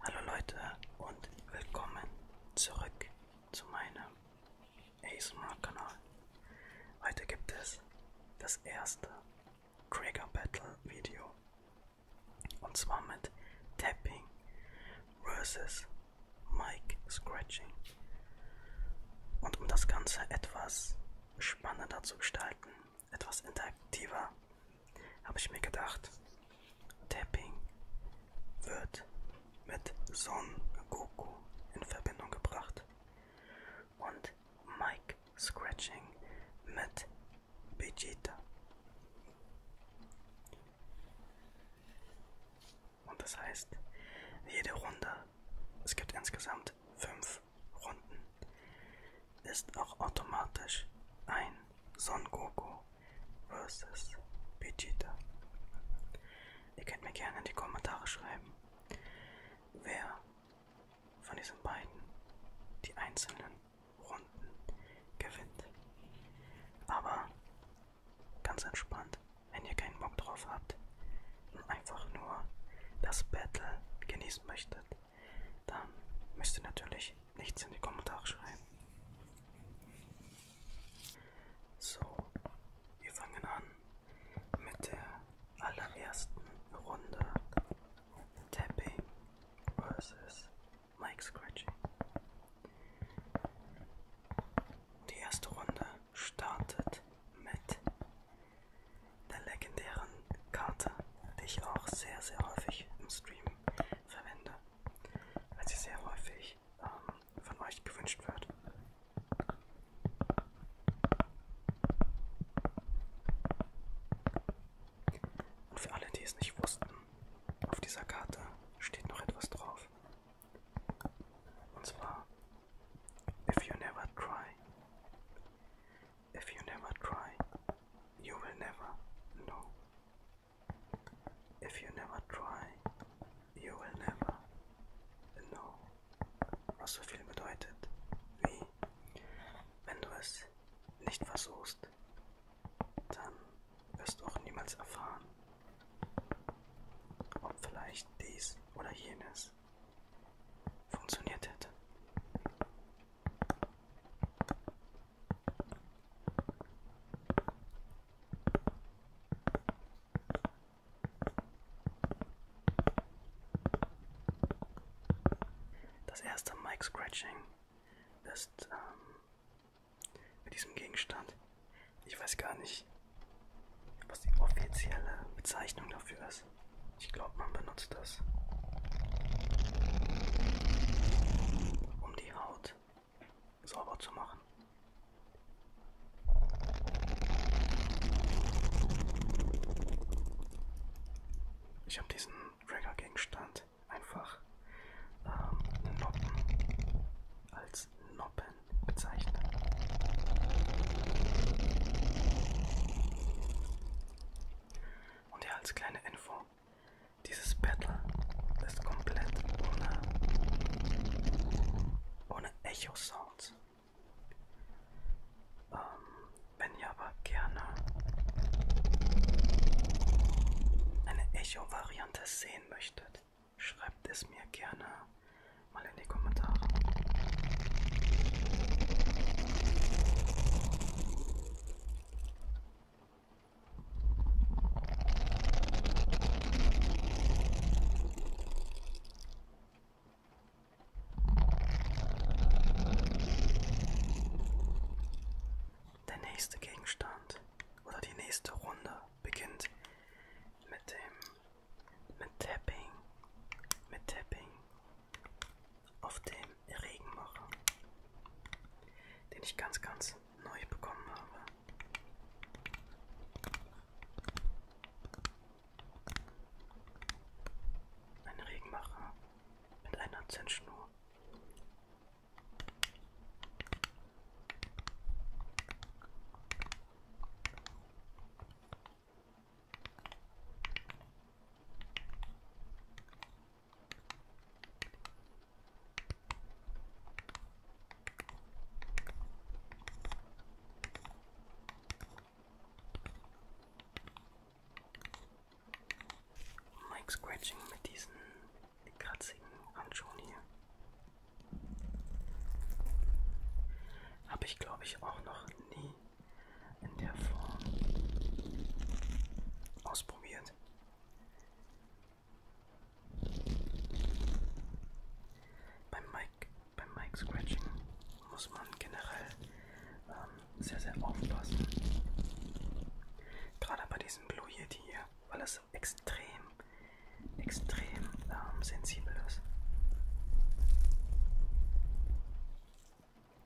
Hallo Leute und willkommen zurück zu meinem ASMR-Kanal. Heute gibt es das erste Trigger Battle Video und zwar mit Tapping versus Mic Scratching. Und um das Ganze etwas spannender zu gestalten, etwas interaktiver, habe ich mir gedacht, Tapping wird mit Son Goku in Verbindung gebracht und Mike Scratching mit Vegeta. Und das heißt, jede Runde, es gibt insgesamt fünf Runden, ist auch automatisch ein Son Goku vs. Vegeta. Ihr könnt mir gerne in die Kommentare schreiben, wer von diesen beiden die einzelnen Runden gewinnt. Aber ganz entspannt, wenn ihr keinen Bock drauf habt und einfach nur das Battle genießen möchtet, dann müsst ihr natürlich nichts in die Kommentare schreiben. So, wir fangen an mit der allerersten Runde Tapping vs. Mike Scratching. Die erste Runde startet mit der legendären Karte, die ich auch sehr, sehr häufig im Stream verwende, weil sie sehr häufig ähm, von euch gewünscht wird. Und für alle, die es nicht wussten, auf dieser Karte steht noch etwas drauf. Und zwar, if you never cry, If you never try, you will never know. If you never try, you will never know. Was so viel bedeutet wie, wenn du es nicht versuchst, dann wirst du auch niemals erfahren, ob vielleicht dies oder jenes funktioniert hätte. Das erste Mic Scratching ist ähm, mit diesem Gegenstand. Ich weiß gar nicht, was die offizielle Bezeichnung dafür ist. Ich glaube, man benutzt das? Um die Haut sauber zu machen. Ich habe diesen Tracker-Gegenstand einfach ähm, Noppen als Noppen bezeichnet. Und ja, als kleine Info, dieses Battle ist komplett ohne, ohne Echo-Sounds. Ähm, wenn ihr aber gerne eine Echo-Variante sehen möchtet, schreibt es mir gerne mal in die Kommentare. Der nächste Gegenstand oder die nächste Runde beginnt mit dem mit Tapping, mit Tapping, auf dem Regenmacher, den ich ganz, ganz neu bekommen habe. Ein Regenmacher mit einer Zündschnur. Mike Scratching mit diesen kratzigen Handschuhen hier. Habe ich glaube ich auch noch nie in der Form ausprobiert. Beim Mic, beim Mic Scratching muss man generell ähm, sehr, sehr aufpassen. Gerade bei diesem Blue Yeti hier, weil es extrem, extrem ähm, sensibel ist.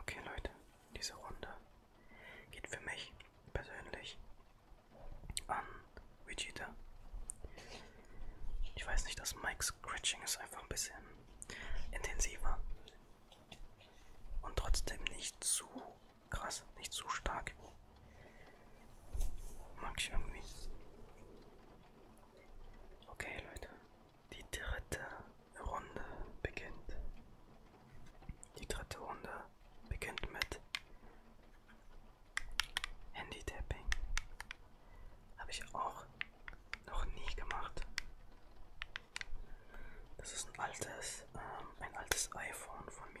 Okay, Leute, diese Runde geht für mich persönlich an Vegeta. Ich weiß nicht, das Mike Scratching ist einfach ein bisschen intensiver und trotzdem nicht zu krass, nicht zu stark. Mag ich irgendwie. Okay, Leute, die dritte Runde beginnt. Die dritte Runde beginnt mit Handy-Tapping. Habe ich auch noch nie gemacht. Das ist ein altes, ähm, ein altes iPhone von mir.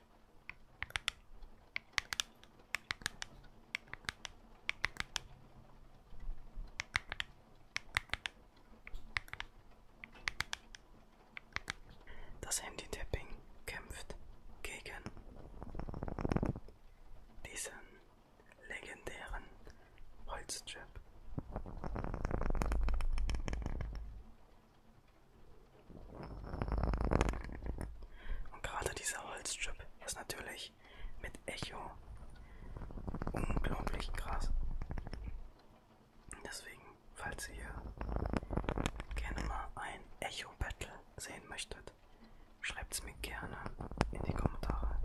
Das Handy-Tapping kämpft gegen diesen legendären Holzchip. Und gerade dieser Holzchip ist natürlich mit Echo unglaublich krass. Deswegen, falls ihr gerne mal ein Echo-Battle sehen möchtet, schreibt es mir gerne in die Kommentare.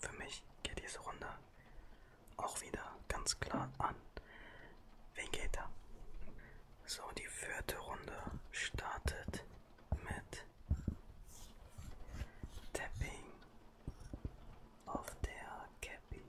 Für mich geht diese Runde auch wieder ganz klar an Vegeta. So, die vierte Runde startet mit Tapping auf der Cappy.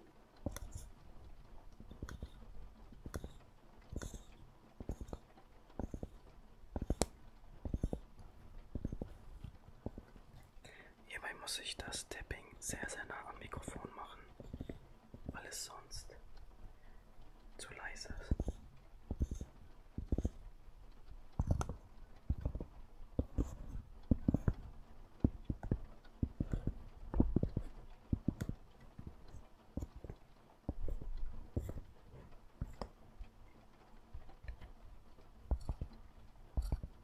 Hierbei muss ich das Tapping sehr, sehr nah am Mikrofon machen, weil es sonst zu leise ist.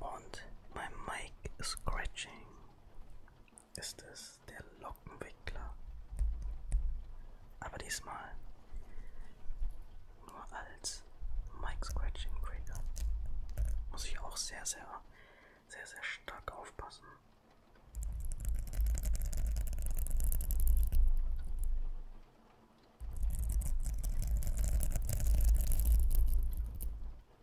Und mein Mic Scratching ist es der Lockenwickler. Aber diesmal nur als Mic Scratching Trigger. Muss ich auch sehr, sehr, sehr, sehr stark aufpassen.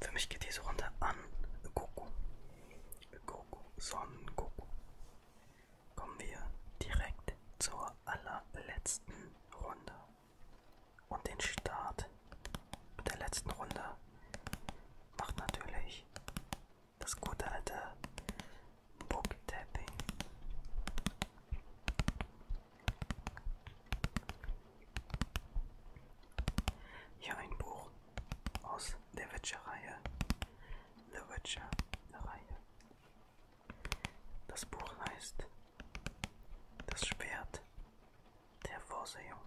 Für mich geht diese Runde an Goku. Goku, Son Goku. Kommen wir direkt zur allerletzten Runde. Und den Start der letzten Runde macht natürlich das gute alte Booktapping. Hier ein Buch aus der Witcher-Reihe. The Witcher-Reihe. Das Buch heißt Das Schwert der Vorsehung.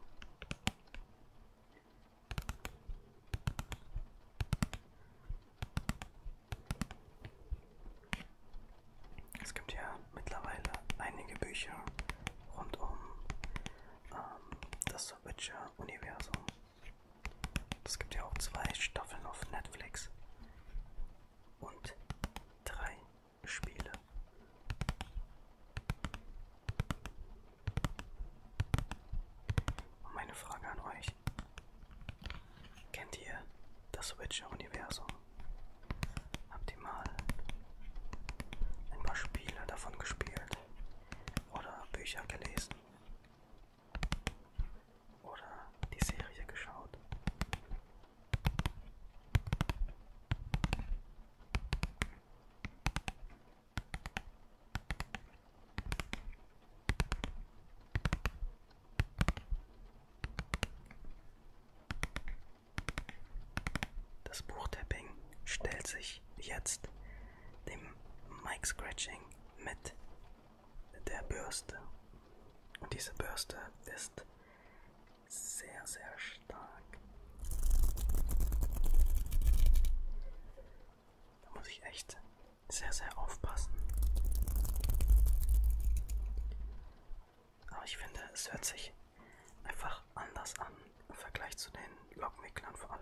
Es gibt ja mittlerweile einige Bücher rund um ähm, das The Witcher-Universum. Es gibt ja auch zwei Staffeln auf Netflix und drei Spiele. Und meine Frage an euch, Kennt ihr das Witcher-Universum? Habt ihr mal ein paar Spiele davon gespielt oder Bücher gelesen oder die Serie geschaut? Das Buchtapping stellt sich jetzt dem Mic Scratching mit der Bürste. Und diese Bürste ist sehr, sehr stark. Da muss ich echt sehr, sehr aufpassen. Aber ich finde, es hört sich einfach anders an im Vergleich zu den Lockenwicklern vor allem.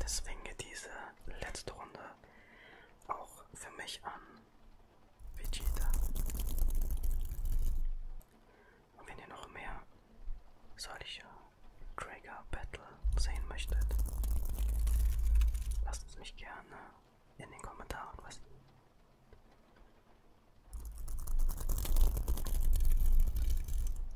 Deswegen geht diese letzte Runde auch für mich an Vegeta. Und wenn ihr noch mehr solcher Drager Battle sehen möchtet, lasst es mich gerne in den Kommentaren wissen.